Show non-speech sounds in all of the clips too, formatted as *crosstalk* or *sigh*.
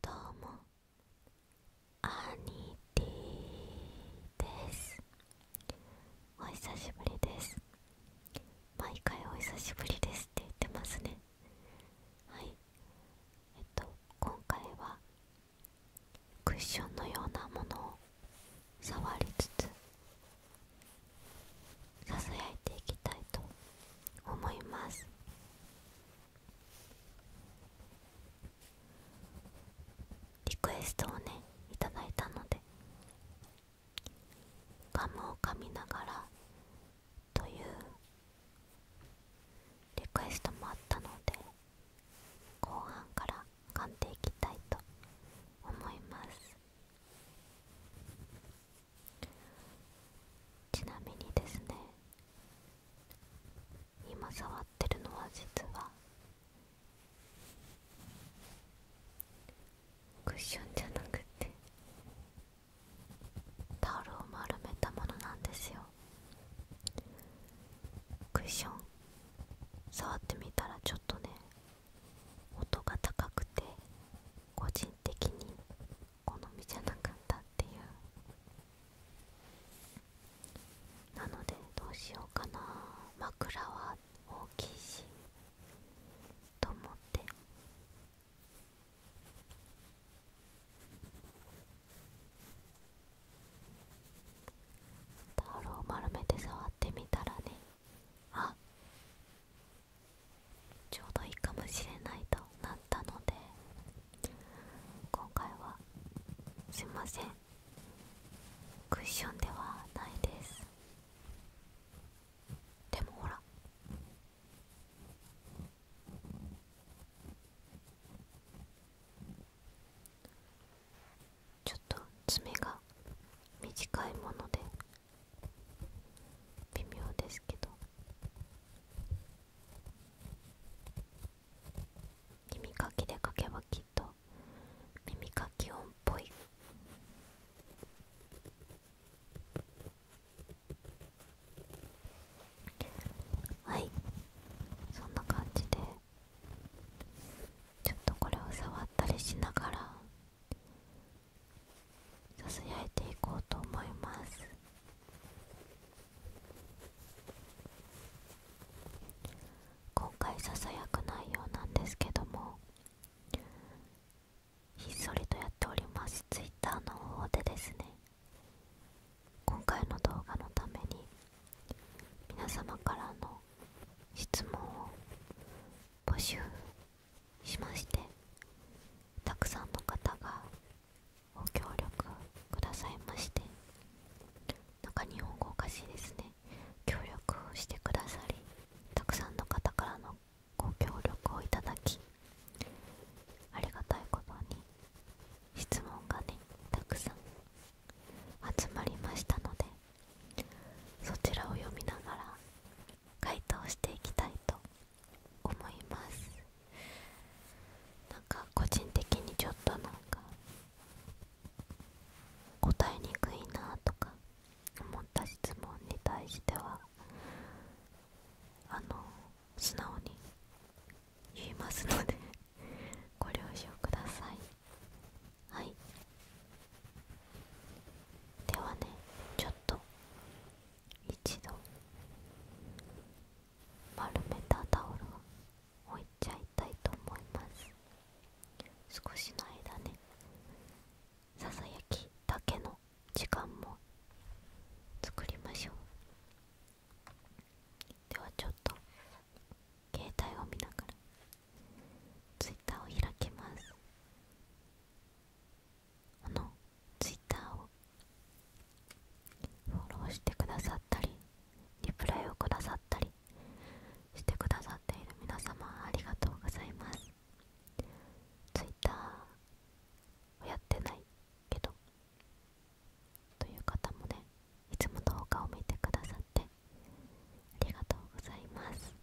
どうもアニティですお久しぶりです毎回お久しぶりですって言ってますねはいえっと今回はクッションのようなものを触りつつさいていきたいと思いますリクエストをね頂いたのでガムを噛みながらというリクエストもあったので後半から噛んでいきたいと思いますちなみにですね今触ってるのは実はクッションじゃなくてタオルを丸めたものなんですよクッション触ってみたらちょっとね音が高くて個人的に好みじゃなかったっていうなのでどうしようかな枕は大きいしと思ってタオルを丸めて触ってみたらねあちょうどいいかもしれないとなったので今回はすいませんクッションではないですでもほらちょっと爪が短いもので微妙ですけど耳かきで書けばきっと耳かき音っぽいはいそんな感じでちょっとこれを触ったりしながらささやいていこうと思います今回ささやく内容なんですけどもひっそりとやっております Twitter の方でですね今回の動画のために皆様からの質問を募集しましてたくさんの方がご協力くださいましてなんか日本語おかしいですね協力してくださりたくさんの方からのご協力をいただきありがたいことに質問がねたくさん集まりましたのでそちらを読みながら回答していきたいと思いますなんか個人的にちょっとなんか答えにくいなとか思った質問に対してはあの素直に言いますのでご了承くださいはいではねちょっと一度丸めたタオルを置いちゃいたいと思います少しの間ねささやきだけの時間も作りましょうではちょっと携帯を見ながら twitter を開きますあのツイッターをフォローしてくださったりリプライをくださったりしてくださっている皆様ありがとうございますツイッターをやってないけどという方もねいつも動画を見てくださってありがとうございます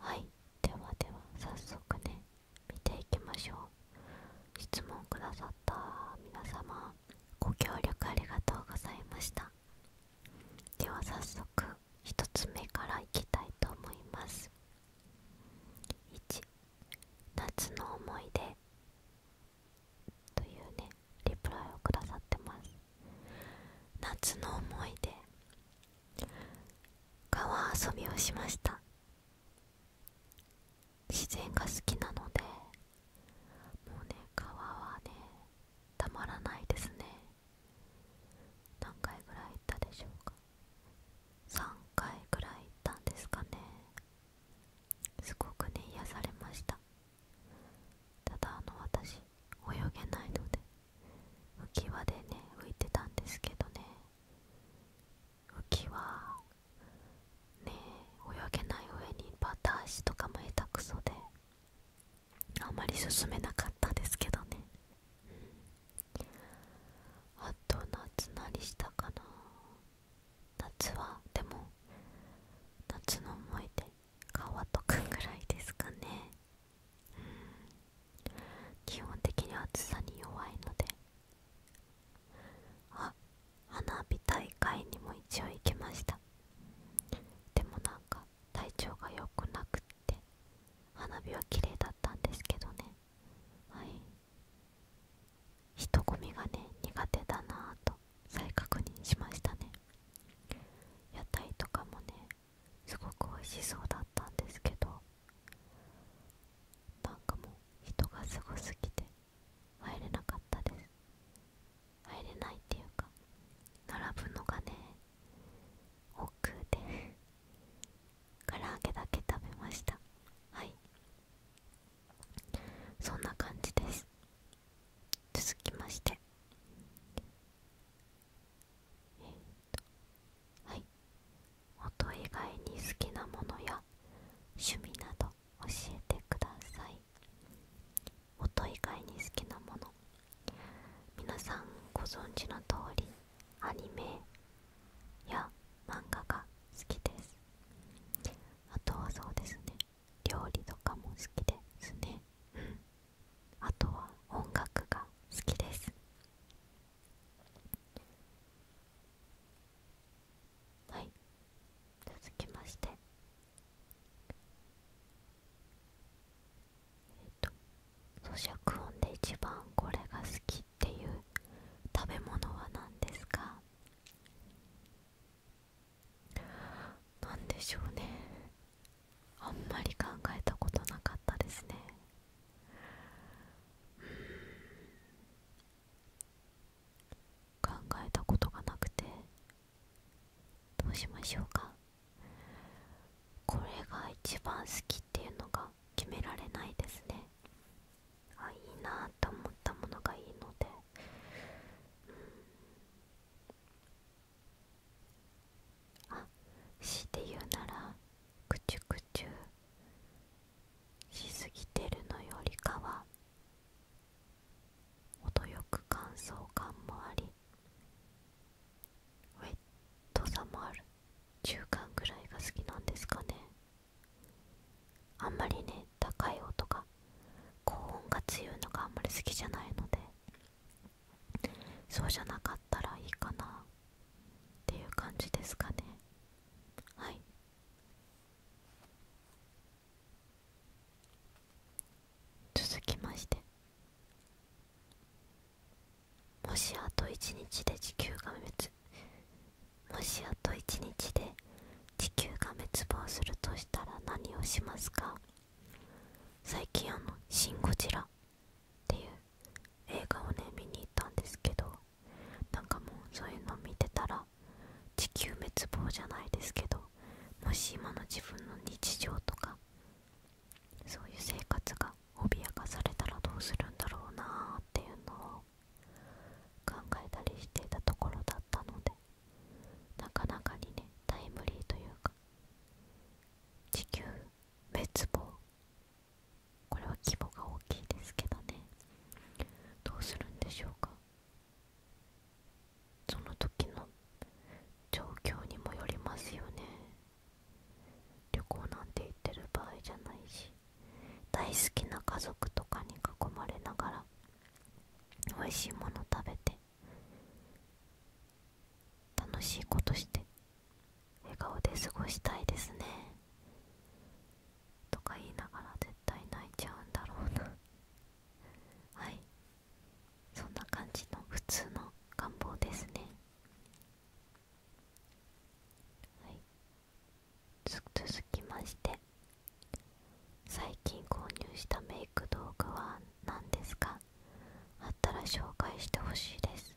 はいではでは早速ね見ていきましょう質問くださった皆様ご協力ありがとうございましたでは早速1つ目からいきたいと思います1夏の思い出というねリプライをくださってます夏の思い出川遊びをしました自然が好きなのでもうね川はねたまらないですね何回ぐらい行ったでしょうか3回ぐらい行ったんですかねすごくね癒されましたただあの私泳げないので浮き輪でね浮いてたんですけどね浮きはねえ、泳げない上にバター足とかも下手くそであまり進めなかったですけどね、うん、あと夏なりしたかな夏はでも夏の思い出川とくぐらいですかね、うん、基本的に暑さに弱いのであ花火大会にも一応行きましたでもなんか体調が良くなくって花火は綺麗だったんですけどねはい人混みがね苦手だなあと再確認しましたね屋台とかもねすごく美味しそうだったんですけどなんかもう人がすごすぎて入れなかったです入れないっていうか並ぶのがね奥で唐揚げだけ食べましたはいそんな感じです続きましてえっとはい音以外に好きなものや趣味など教えてください音以外に好きなもの皆さんご存知の通りアニメや漫画が好きですあとはそうですね料理とかも好きですねあとは音楽が好きですはい続きましてえっ、ー、と咀嚼音で一番これが好きっていう食べ物は何ですかなんでしょうねあんまり考えたことなかったですね考えたことがなくてどうしましょうかこれが一番好きっていうのが決められないですねあいいなと思ったものがいいので、うん、あ強いて言うならクチュクチュしすぎてるのよりかは程よく乾燥感もありウェットさもある中間ぐらいが好きなんですかねあんまりね高い音が高音が強いのがあんまり好きじゃないのでそうじゃなかったらいいかなっていう感じですかねはい続きましてもしあと一日で地球が滅もしあと一日で地球が滅亡するとしたら何をしますか最近あの「シン・ゴジラ」っていう映画をね見に行ったんですけどなんかもうそういうの見てたら地球滅亡じゃないですけどもし今の自分の日常とかそういう生活が脅かされたらどうするんだろうなーっていうのを考えたりしていたところだったのでなかなかにねタイムリーというか地球滅亡これは規模が大きいですけどねどうするんでしょうかその時の状況にもよりますよね旅行なんて行ってる場合じゃないし大好きな家族とかに囲まれながら美味しいもの食べて楽しいことして笑顔で過ごしたいですねとか言いながら絶対泣いちゃうんだろうな *laughs* はいそんな感じの普通の願望ですね続きまして最近購入したメイク道具は何ですかあったら紹介してほしいです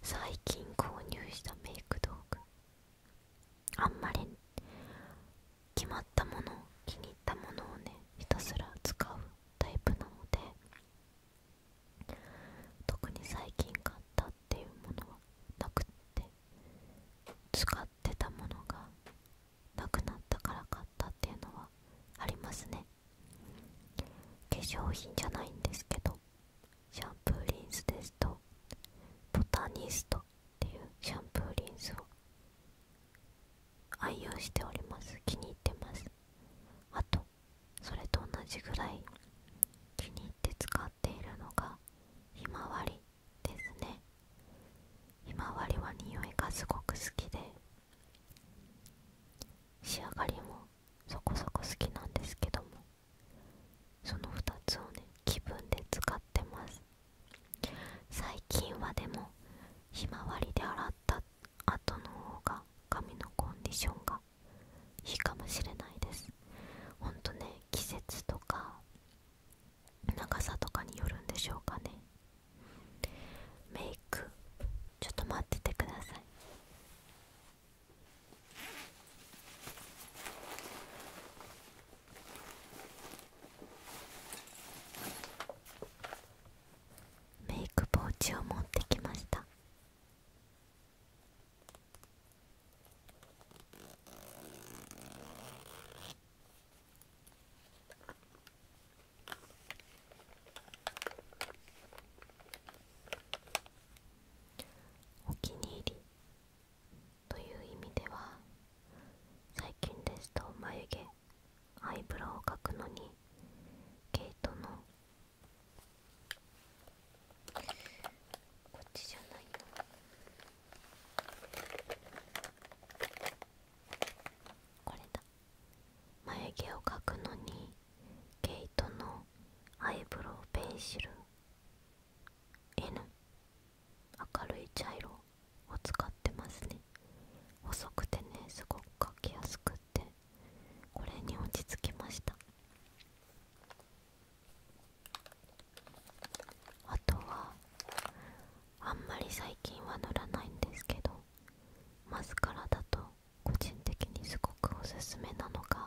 最近購入したメイク道具あんまり決まったもの気に入ったものをねひたすら使うタイプなので特に最近買ったっていうものはなくて使ってたものがなくなったから買ったっていうのはありますね化粧品じゃないんですけどシャンプーリンスですとボタニストっていうシャンプーリンスを愛用しております気に入ってますあとそれと同じぐらい気に入って使っているのがひまわりですねひまわりは匂いがすごく好きで仕上がりもそこそこ好きなんですけどもその2つをね気分で使ってます最近はでもひまわりで洗った後の方が髪のコンディションがいいかもしれないですほんとね季節とか長さとかによるんでしょうかねメイクちょっと待っててくださいメイクポーチを持ってきましたお気に入りという意味では最近ですと眉毛アイブロウを描くのに毛トのこっちじゃないよこれだ眉毛を描くのに毛トのアイブロウペンシル N 明るい茶色を使ってますね細くてねすごく描きやすくってこれに落ち着きましたあとはあんまり最近は塗らないんですけどマスカラだと個人的にすごくおすすめなのが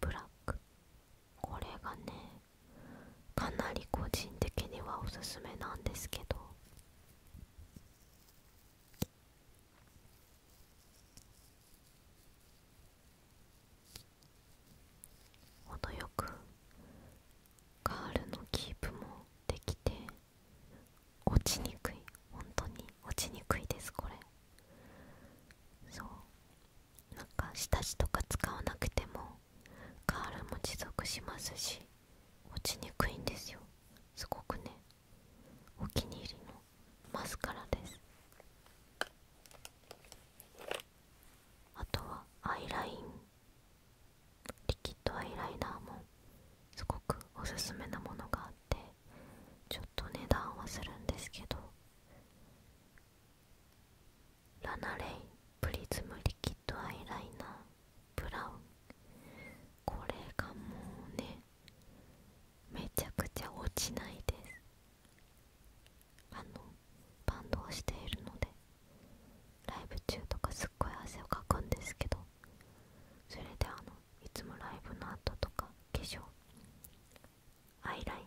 ブラックこれがねかなり個人的にはおすすめなんですけど程よくガールのキープもできて落ちにくい本当に落ちにくいですこれ。そうなんか下地とか使わなくてもカールも持続しますし落ちにくいんですよすごくねお気に入りのマスカラですあとはアイラインリキッドアイライナーもすごくおすすめなものがあってちょっと値段はするんですけどラナレイプリズムリキッドアイライナーブラウンこれがもうねめちゃくちゃ落ちないですあのバンドをしているのでライブ中とかすっごい汗をかくんですけどそれであのいつもライブの後とか化粧アイライン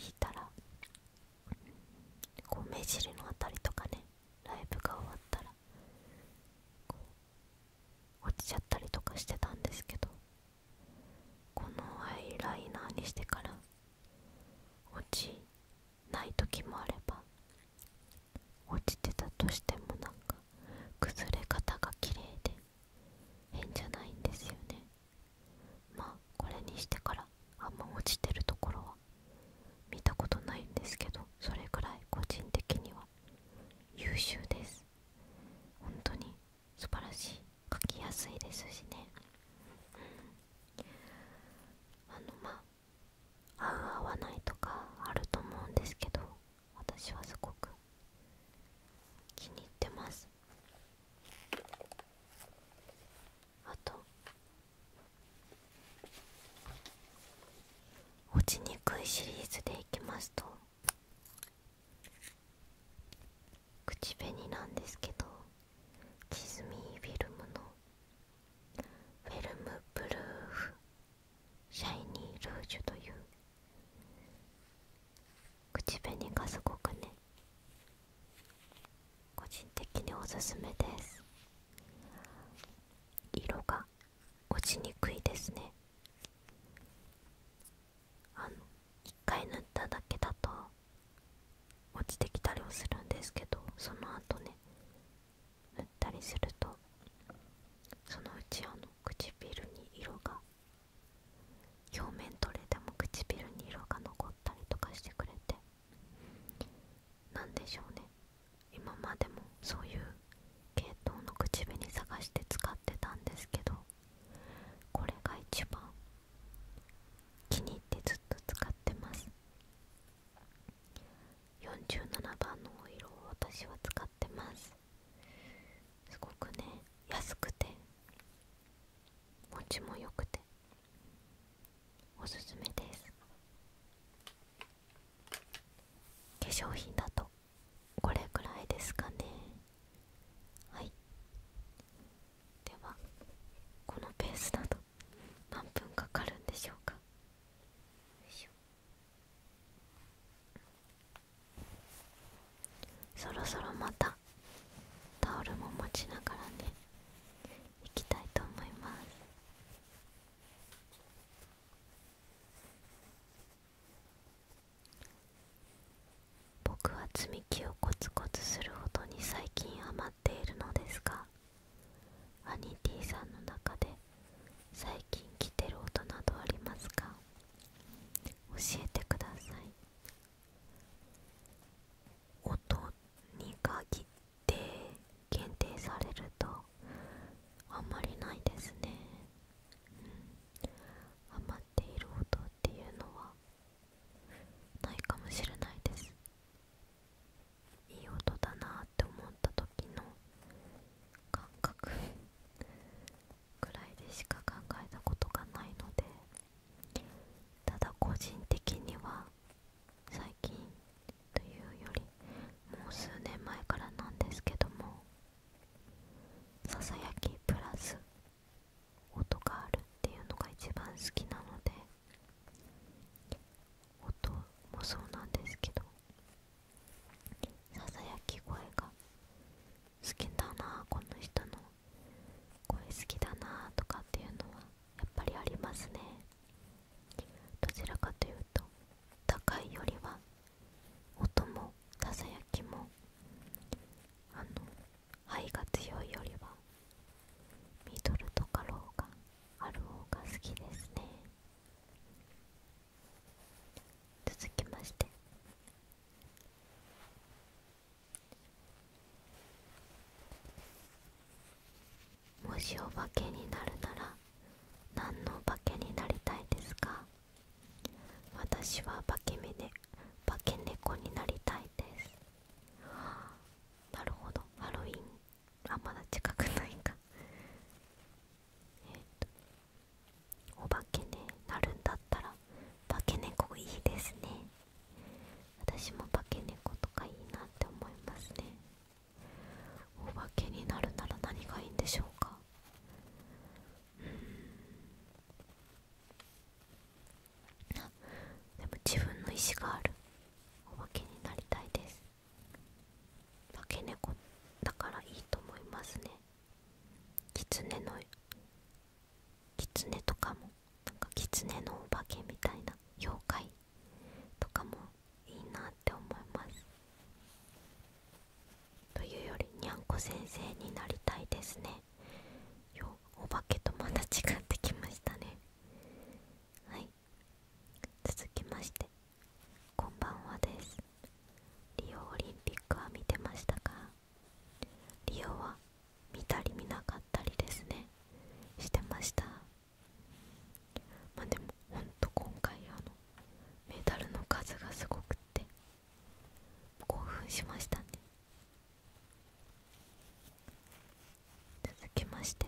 引いたらこう目尻のあたりとかねライブが終わったらこう落ちちゃったりとかしてたんですけどこのアイライナーにしてから落ちない時もあれば落ちてたとしてもなんか崩れ方が綺麗で変じゃないんですよねまあこれにしてからあんま落ちてるところは見たことないんですけどそれくらい個人的には優秀です本当に素晴らしい書きやすいですしね、うん、あのまあ合う合わないとかあると思うんですけど私はすごく気に入ってますあと落ちにくいシリーズでいきますと口紅なんですけどチズミーフィルムのフェルムブルーフシャイニールージュという口紅がすごくね個人的におすすめです色が落ちにくいですねあの一回塗っただけだと落ちてきたりはするんですけどその後ね塗ったりするとそのうちあの唇に色が表面取れても唇に色が残ったりとかしてくれて何でしょうね今までもそういう系統の口紅探して使ってたんですけどこれが一番気に入ってずっと使ってます47番のお色を私は使ってますすごくね安くて持ちも良くておすすめです化粧品だとこれくらいですかねはいではこのペースだと何分かかるんでしょうかよいしょそろそろまたタオルも持ちながらね行きたいと思います僕は積み木をコツコツするほどに最近ハマっているのですがアニティさんの中で最近来てる音などありますか教えてください音に限って限定されるとあんまりないですね、うん、余っている音っていうのはないかもしれないですいい音だなって思った時の感覚くらいでしか考えたことがないのでただ個人的には最近というよりもう数年前からなんですけどもささやきプラス音があるっていうのが一番好きなので音もそうなんですけどささやき声が好きだなこの人の声好きだなとかっていうのはやっぱりありますねどちらかというと高いよりは音もさきもあの肺が強いよりはミドルとかろうがある方が好きですね続きましてもしお化けになるなら何のお化けになりたいですか私は化け目で化け猫になりたいですなるほどハロウィンはまだ近くないかえっとお化けになるんだったら化け猫いいですね私も化け猫とかいいなって思いますねお化けになるなら何がいいんでしょうかうんあでも自分の意志があるお化けになりたいです化け猫だからいいと思いますね狐のキツネとかもなんかキツネのお化けみたいな妖怪とかもいいなって思いますというよりにゃんこ先生になりたいですねよお化けとまた違ってきましたねはい続きましてこんばんはですリオオリンピックは見てましたかリオは見たり見なかったりですねしてましたまあでもほんと今回あのメダルの数がすごくって興奮しましたね続きまして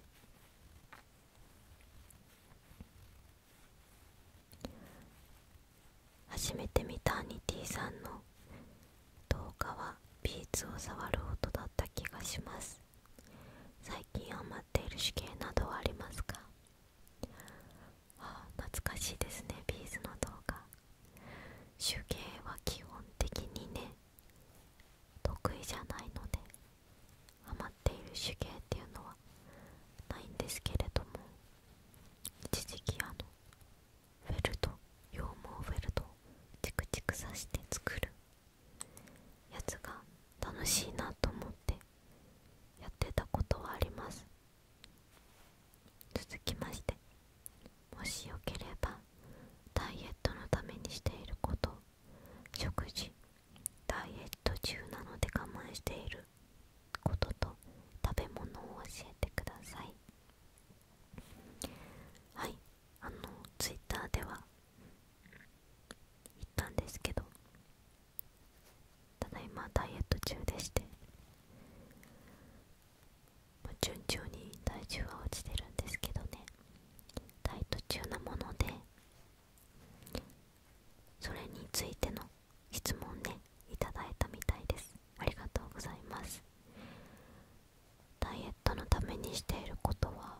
初めて見たアニティさんの動画はビーツを触る音だった気がします最近余っている手芸などはありますかああ懐かしいですねビーズの動画手芸は基本的にね得意じゃないので余っている手芸っていうのはないんですけれども一時期あのフェルト羊毛フェルトチクチクさして作るやつが楽しいなと思ってやってたことはあります続きましてもしよければダイエットのためにしていること食事ダイエット中なので我慢していることと食べ物を教えてくださいはいあのツイッターでは言ったんですけどただいまダイエット中でして順調に体重は落ちてるんですけどねダイエット中なものでそれについての質問ねいただいたみたいですありがとうございますダイエットのためにしていることは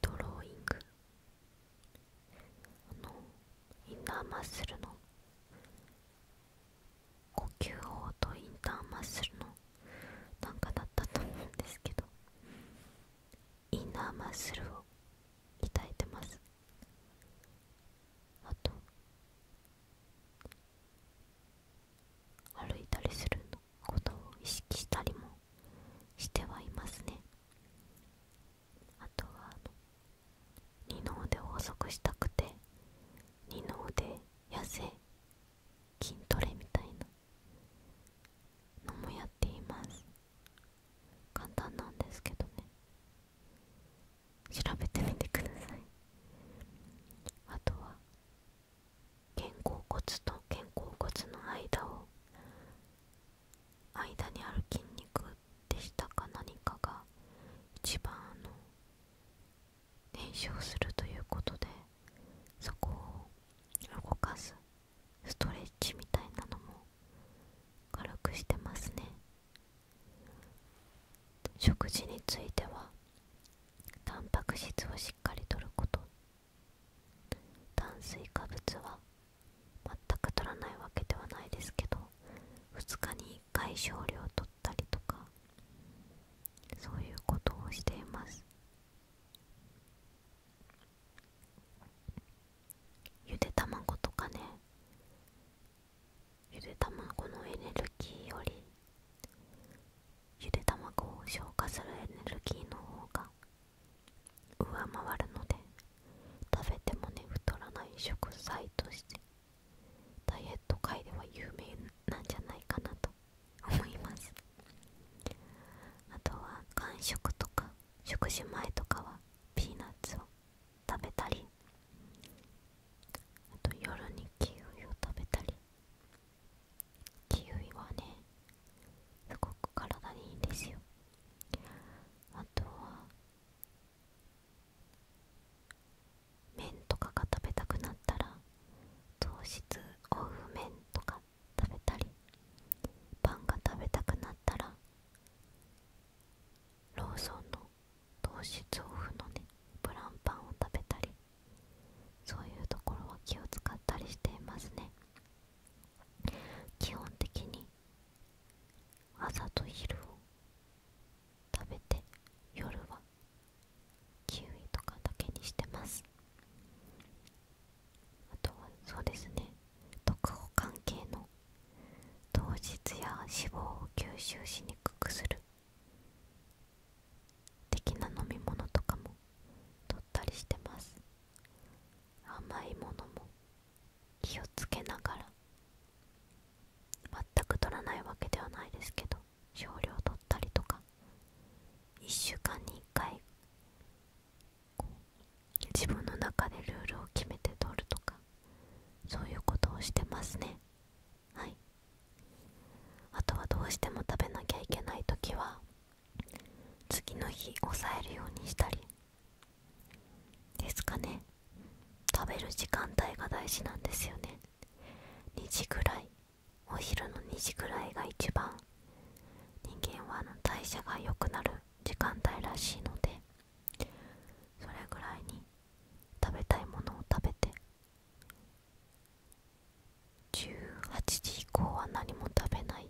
ドローイングあのインナーマッスルの呼吸法とインターマッスルのなんかだったと思うんですけどインナーマッスルを鍛えてますあと歩いたりするのことを意識したりもしてはいますねあとは二の腕を遅くしたくて二の腕痩せ筋トレみたいなのもやっています簡単なんですけどね調べてみてくださいあとは肩甲骨と肩甲骨の間を間にある筋肉でしたか何かが一番あの燃焼するということでそこを動かすストレッチみたいなのも軽くしてますね食事についてはタンパク質をしっかりとること炭水化物は全くとらないわけではないですけど2日に1回少量とったりとかそういうことをしていますゆで卵とかねゆで卵のエネルギーよりゆで卵を消化するエネルギーの方が上回るので食べてもね太らない食材としてダイエット界では有名なんじゃないかなと思いますあとは間食とか食事前とかはピーナッツを食べたりあと夜にキウイを食べたりキウイはねすごく体にいいんですよあとは麺とかが食べたくなったら糖質オフ麺とか食べたりパンが食べたくなったらローソンの糖質オフのねプランパンを食べたりそういうところは気を使ったりしていますね基本的に朝と昼を食べて夜はキウイとかだけにしてますあとはそうですね特保関係の糖質や脂肪を吸収しにくくする的な飲み物とかも取ったりしてます甘いものも気をつけながら全く取らないわけではないですけど少量取ったりとか1週間に1回こう自分の中でルールを決めて取るとかそういうことをしてますねはいあとはどうしても食べなきゃいけない時は次の日抑えるようにしたりですかね食べる時間帯が大事なんですよね2時ぐらいお昼の2時ぐらいが一番人間は代謝が良くなる時間帯らしいのでそれぐらいに食べたいものを食べて18時以降は何も食べないっ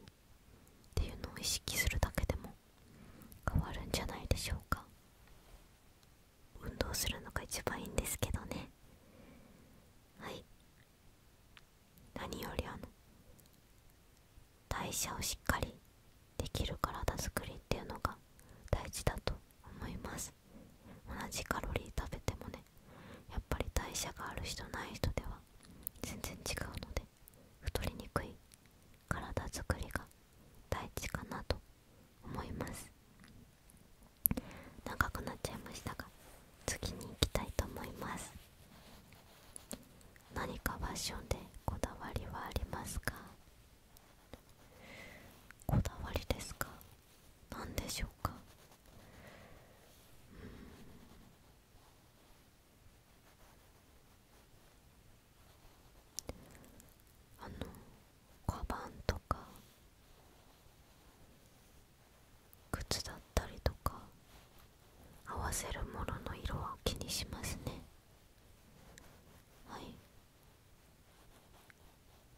ていうのを意識するだけでも変わるんじゃないでしょうか運動するのが一番いいんですけどねはい何よりあの代謝をしっかりできる体づくりっていうのが大事だと思います同じカロリー食べてもねやっぱり代謝がある人ない人では全然違うので太りにくい体づくりが大事かなと思います長くなっちゃいましたが次に行きたいと思います何かファッションでこだわりはありますかこだわりですか何でしょうか、あのカバンとか靴だったりとか合わせるものの色は気にしますねはい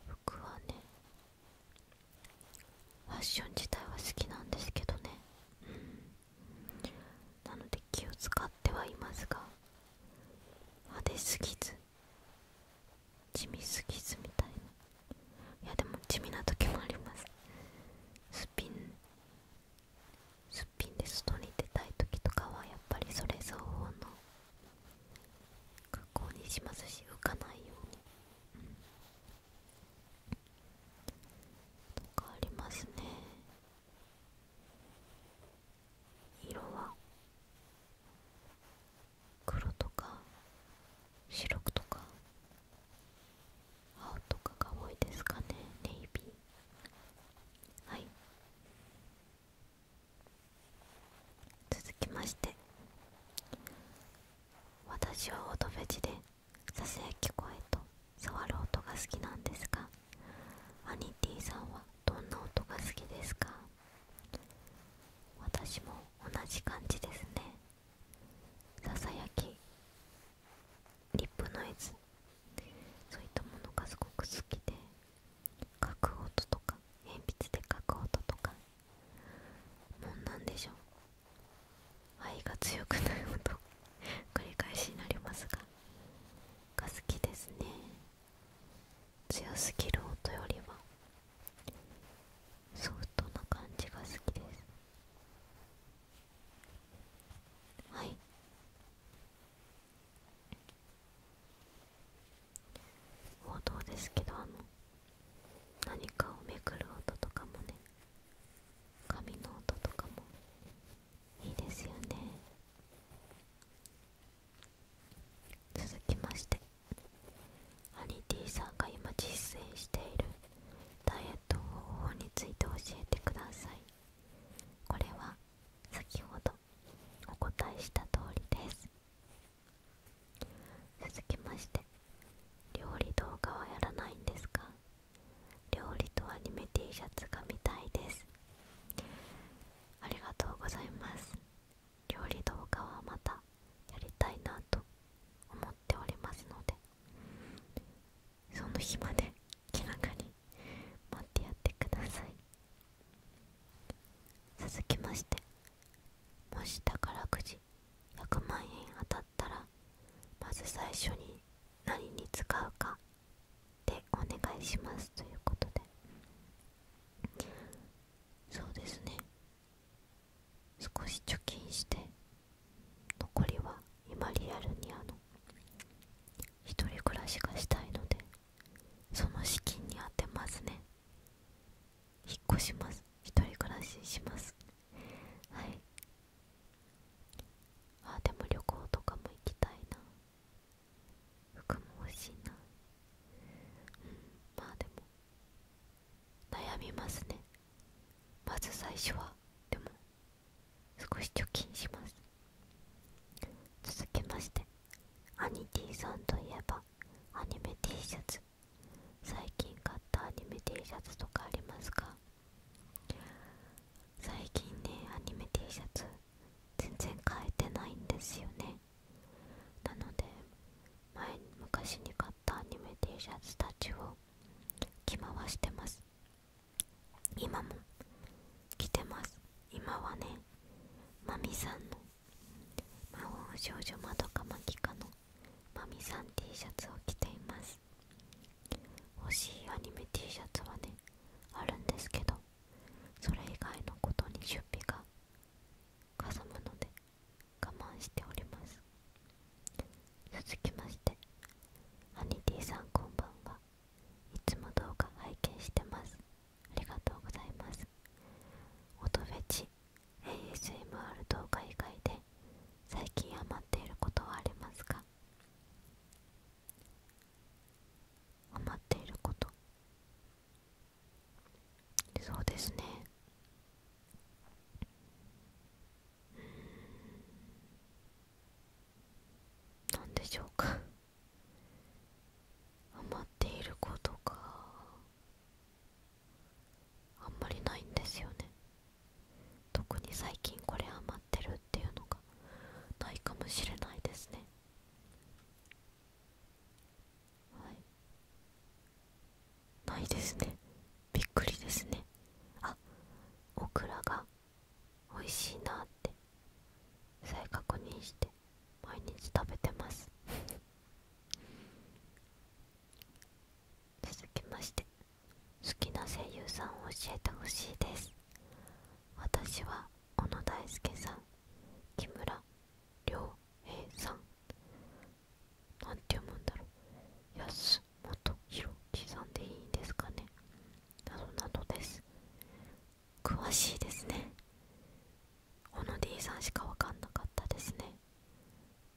僕はねファッション自体は好きなんですけどね、うん、なので気を使ってはいますが派手すぎず地味すぎずみたいないやでも地味な時もありますスピン。んすっぴんで外に出たい時とかはやっぱりそれ相応の格好にしますし浮かないように、とかありますね色は黒とか白とか青とかが多いですかねネイビーはい続きまして私は音ベジでささやき声と触る音が好きなんですがアニティさんはどんな音が好きですか私も同じ感じですねささやきリップノイズそういったものがすごく好きで書く音とか鉛筆で書く音とかもんなんでしょう愛が強くない音繰り返しになりますがが好きですね強すぎる音よりはソフトな感じが好きですはい王道ですけどあの何かをめくる音とかもね髪の音とかもいいですよね続きましてアニティさんが今実践しているダイエット方法について教えてくださいこれは先ほどお答えした通りです続きまして料理動画はやらないんですか料理とアニメ T シャツが見たいですありがとうございます料理動画はまたやりたいなと思っておりますのでその日まで気楽に待ってやってください続きましてもし宝くじ100万円当たったらまず最初に何に使うかでお願いしますということでそうですね少し貯金して残りは今リアルにあの一人暮らしがしたいのでその資金に充てますね引っ越します一人暮らししますはいああ、でも旅行とかも行きたいな服も欲しいなうんまあでも悩みますねまず最初はでも少し貯金します続けましてアニティさんといえばアニメ T シャツ最近買ったアニメ T シャツとかありますか最近ねアニメ T シャツ全然変えてないんですよねなので前昔に買ったアニメ T シャツたちを着回してます今も着てます今はねまみさんの魔法少女まどかまきかのまみさん T シャツを着ています欲しいアニメ T シャツはねあるんですけどそれ以外のことに出費がかさむので我慢しております続きましてハニティさんこんばんはいつも動画拝見してますありがとうございます音フェチ ASMR 動画以外で最近ハマっていることはありますかハマっていることそうですねうん何でしょうかハマっていることかあんまりないんですよね特に最近これ余ってるっていうのがないかもしれないですねはいないですねびっくりですねあオクラが美味しいなって再確認して毎日食べてます続きまして好きな声優さんを教えてほしいです私は小野大輔さん木村良平さんなんて読むんだろう安本弘樹さんでいいんですかねなどなどです詳しいですね小野 D さんしかわかんなかったですね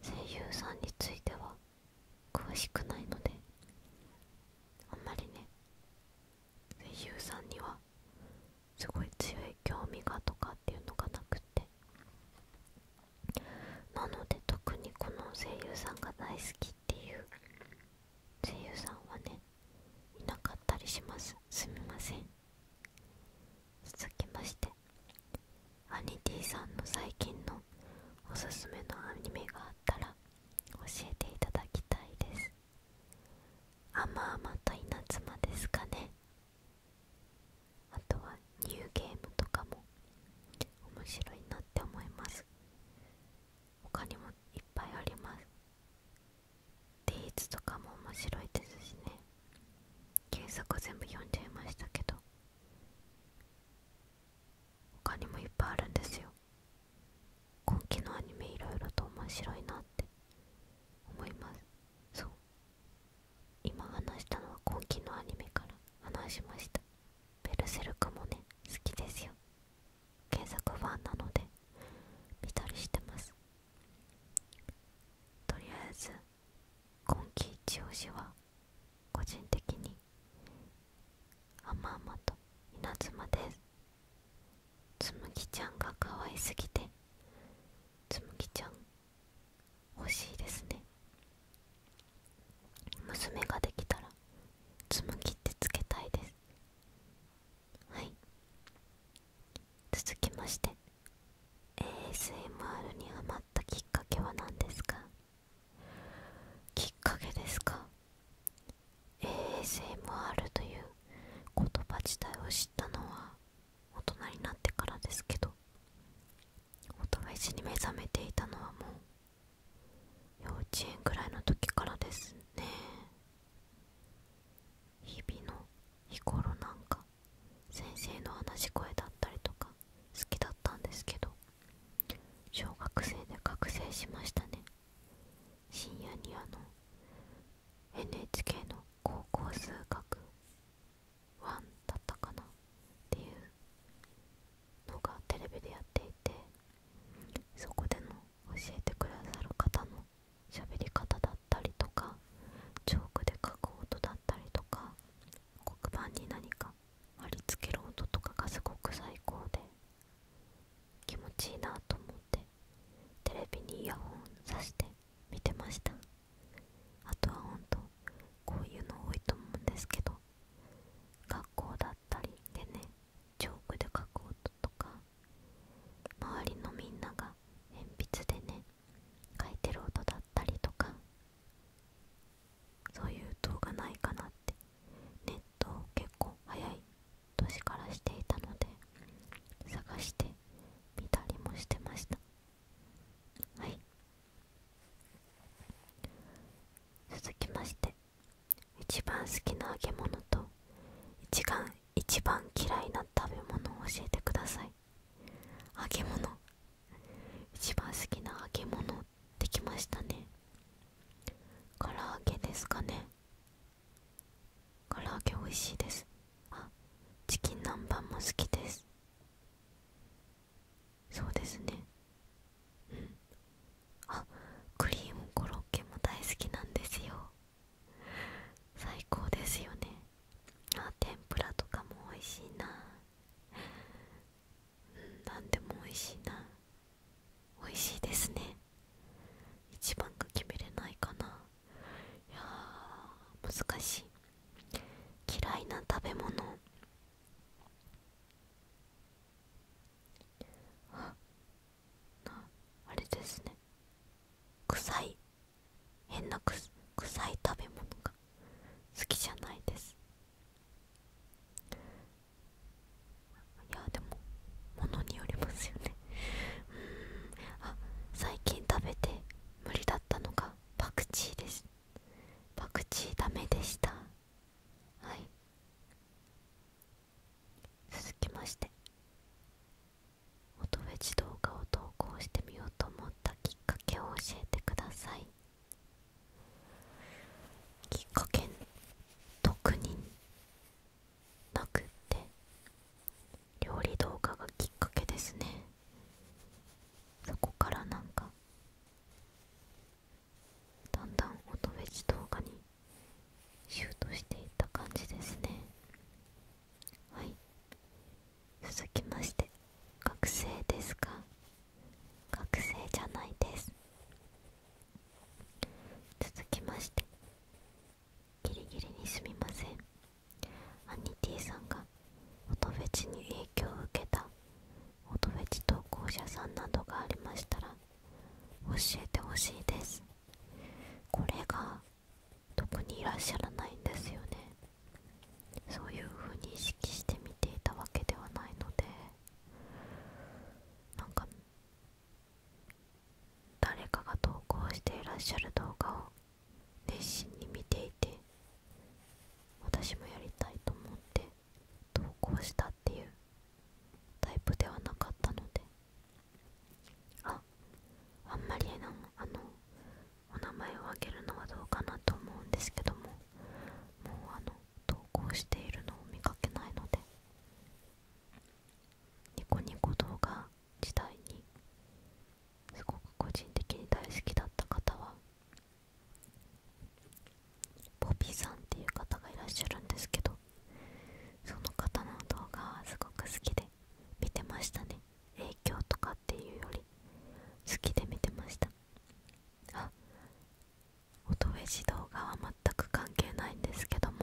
声優さんについては詳しくないのであんまりね声優さんにはすごい強い興味がとかっていうのがなくてなので特にこの声優さんが大好きっていう声優さんはねいなかったりしますすみません続きましてアニティさんの最近のおすすめのアニメがあったら教えていただきたいですあまあまと稲妻ですかねあとはニューゲームとかも面白いなって思います他にもいっぱいありますデイズとかも面白いですしね原作全部読んじゃいましたけど他にもいっぱいあるんですよ今期のアニメ色々と面白いなって思いますそう今話したのは今期のアニメから話しましたベルセルクもね好きですよ原作ファンなので見たりしてますとりあえず今季一押しは個人的に甘々と稲妻ですつむぎちゃんが可愛すぎてつむぎちゃん欲しいですね娘ができたらつぎってつけたいですはい続きまして ASMR に余ったきっかけは何ですかきっかけですか ASMR という言葉自体を知ったのは大人になってからですけど音が石に目覚めていたのはもう幼稚園くらいの時からですね日々の日頃なんか先生の話し声だったりとか好きだったんですけど小学生で覚醒しましたね深夜にあの NHK の高校数学1だったかなっていうのがテレビでやっていてそこでの教えてくださる方の喋り方だったりとかチョークで書く音だったりとか黒板に何か貼り付ける音とかがすごく最高で気持ちいいなと思ってテレビにイヤホンさして見てましたあとはほんとこういうの多いと思うんですけど学校だったりでねチョークで書く音とか周りのみんなが鉛筆でね書いてる音だったりとかそういう動画ないかなってネットを結構早い年からしていたので探してみたりもしてましたはい続きまして一番好きな揚げ物と一番一番嫌いな食べ物を教えてください揚げ物一番好きな揚げ物できましたね唐揚げですかね唐揚げ美味しいですあチキン南蛮も好きですそうですねうんあクリームコロッケも大好きなんですよ最高ですよねあ天ぷらとかも美味しいななんでも美味しいな美味しいですね一番が決めれないかないや難しい嫌いな食べ物ああれですね臭い変なく臭い食べ物が好きじゃないですいやでもものによりますよねうんあ最近食べて無理だったのがパクチーですパクチーダメでしたはい続きまして音フェチ動画を投稿してみようと思ったきっかけを教えてくださいきっかけ特になくって料理動画がきっかけですねそこからなんかだんだん音フェ動画にシュートしていった感じですねはい続きまして学生ですか学生じゃないです続きましてギリギリにすみませんアニティさんが音フェチに影響を受けた音フェチ投稿者さんなどがありましたら教えてほしいですこれが特にいらっしゃらないんですよねそういう風に意識して見ていたわけではないのでなんか誰かが投稿していらっしゃる動画を熱心に見ていて私もやりたいと思って投稿したっていうタイプではなかったのでああんまりあのあのお名前を挙げるのはどうかなと思うんですけどももうあの投稿しているのを見かけないのでニコニコ動画時代にすごく個人的に大好きだった方はボビーさんっていう方がいらっしゃるんですけどその方の動画はすごく好きで見てましたね影響とかっていうより好きで見てましたあ音フェ動画は全く関係ないんですけども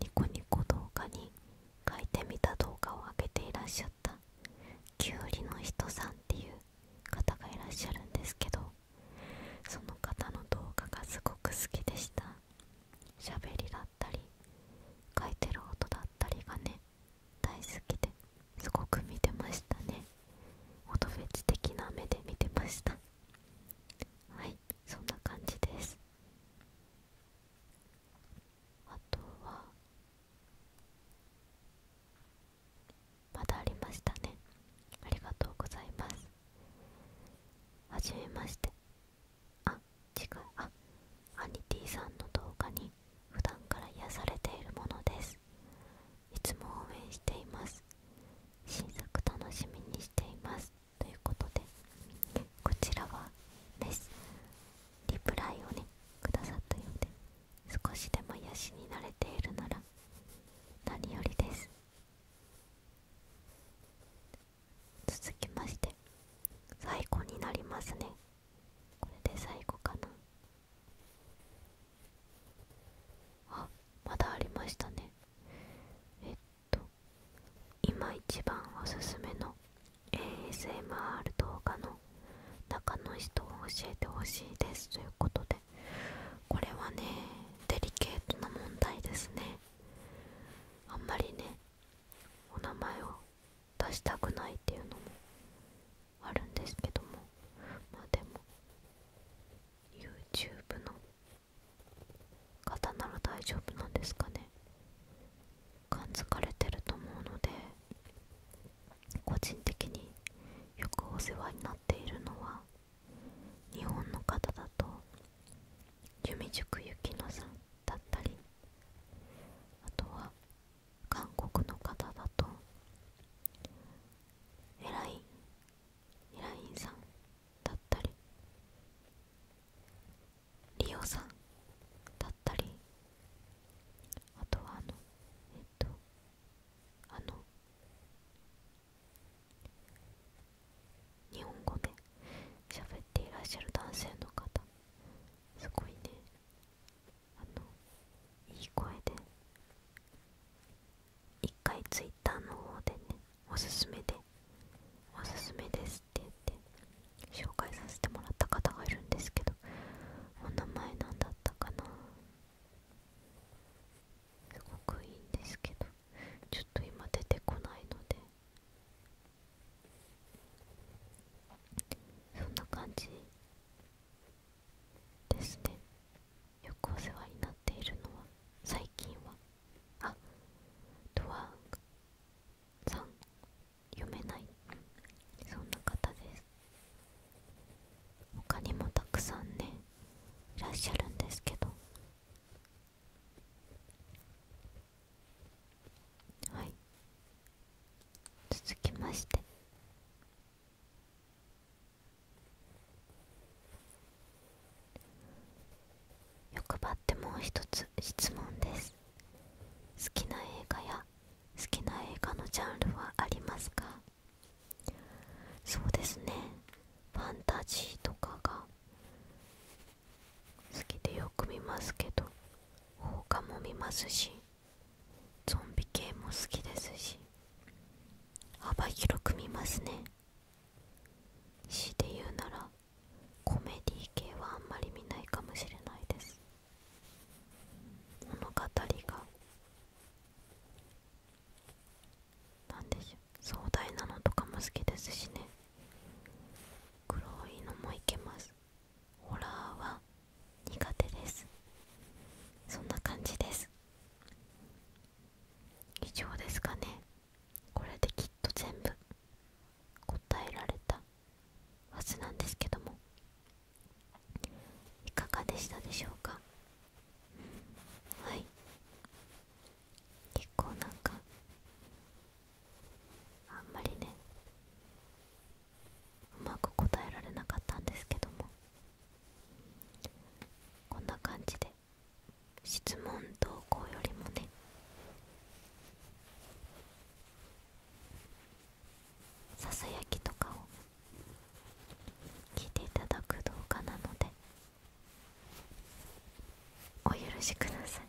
ニコニコ動画に書いてみた動画をあげていらっしゃったきゅうりの人さんっていう方がいらっしゃるんですけどその方の動画がすごく好きでしたしゃべりだったり書いてる音だったりがね大好きですごく見てましたね音フェチ的な目で見てましたはいそんな感じですあとはまだありましたねありがとうございますはじめましてあ違うあアニティさんの動画に普段から癒されているものですいつも応援しています新作楽しみにしていますということでこちらはですリプライをねくださったようで少しでも癒しになれているなら何よりです続きまして最後になりますねこれで最後かなあまだありましたねえっと今一番おすすめの ASMR 動画の中の人を教えてほしいですということでこれはねデリケートな問題ですねあんまりねお名前を出したくないっていうのもあるんですけどもまあでも YouTube の方なら大丈夫なんですかね感づかれてると思うので個人的によくお世話になっているのは日本の方だと由美塾ゆきのさんだったりあとは韓国の方だとエラインエラインさんだったりリオさんだったりあとはあのえっとあの日本語で喋っていらっしゃる男性の方すごいねあのいい声で一回ツイッターの方でねおすすめでおすすめですって言って紹介させてもらった方がいるんですけどお名前なんだったかなすごくいいんですけどちょっと今出てこないのでそんな感じですねよくお世話になっているのは最近はあドワンさん読めないそんな方です他にもたくさんねいらっしゃるんですけどはい続きまして欲張ってもう一つ質問です好きな映画や好きな映画のジャンルはありますかそうですねファンタジーとかが好きでよく見ますけど放課も見ますしゾンビ系も好きですし幅広く見ますね死で言うならコメディ系はあんまり見ないかもしれないです物語が何でしょう壮大なのとかも好きですしね黒いのもいけますホラーは苦手ですそんな感じです以上ですかねこれできっと全部答えられたはずなんですけどもいかがでしたでしょうかはい結構なんかあんまりねうまく答えられなかったんですけどもこんな感じで質問投稿よりもねささやきとかを聞いていただく動画なのでお許しください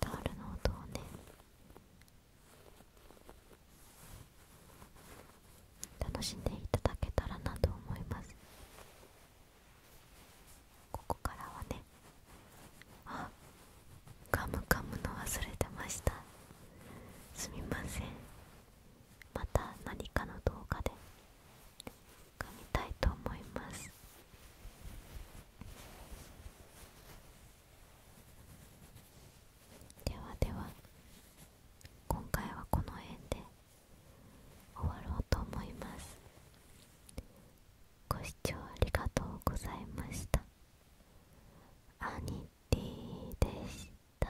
タオルの音をね楽しんでいただけたらなと思いますここからはねあガム噛むの忘れてましたすみませんまた何かの動画で組みたいと思いますではでは今回はこの辺で終わろうと思いますご視聴ありがとうございましたアニでした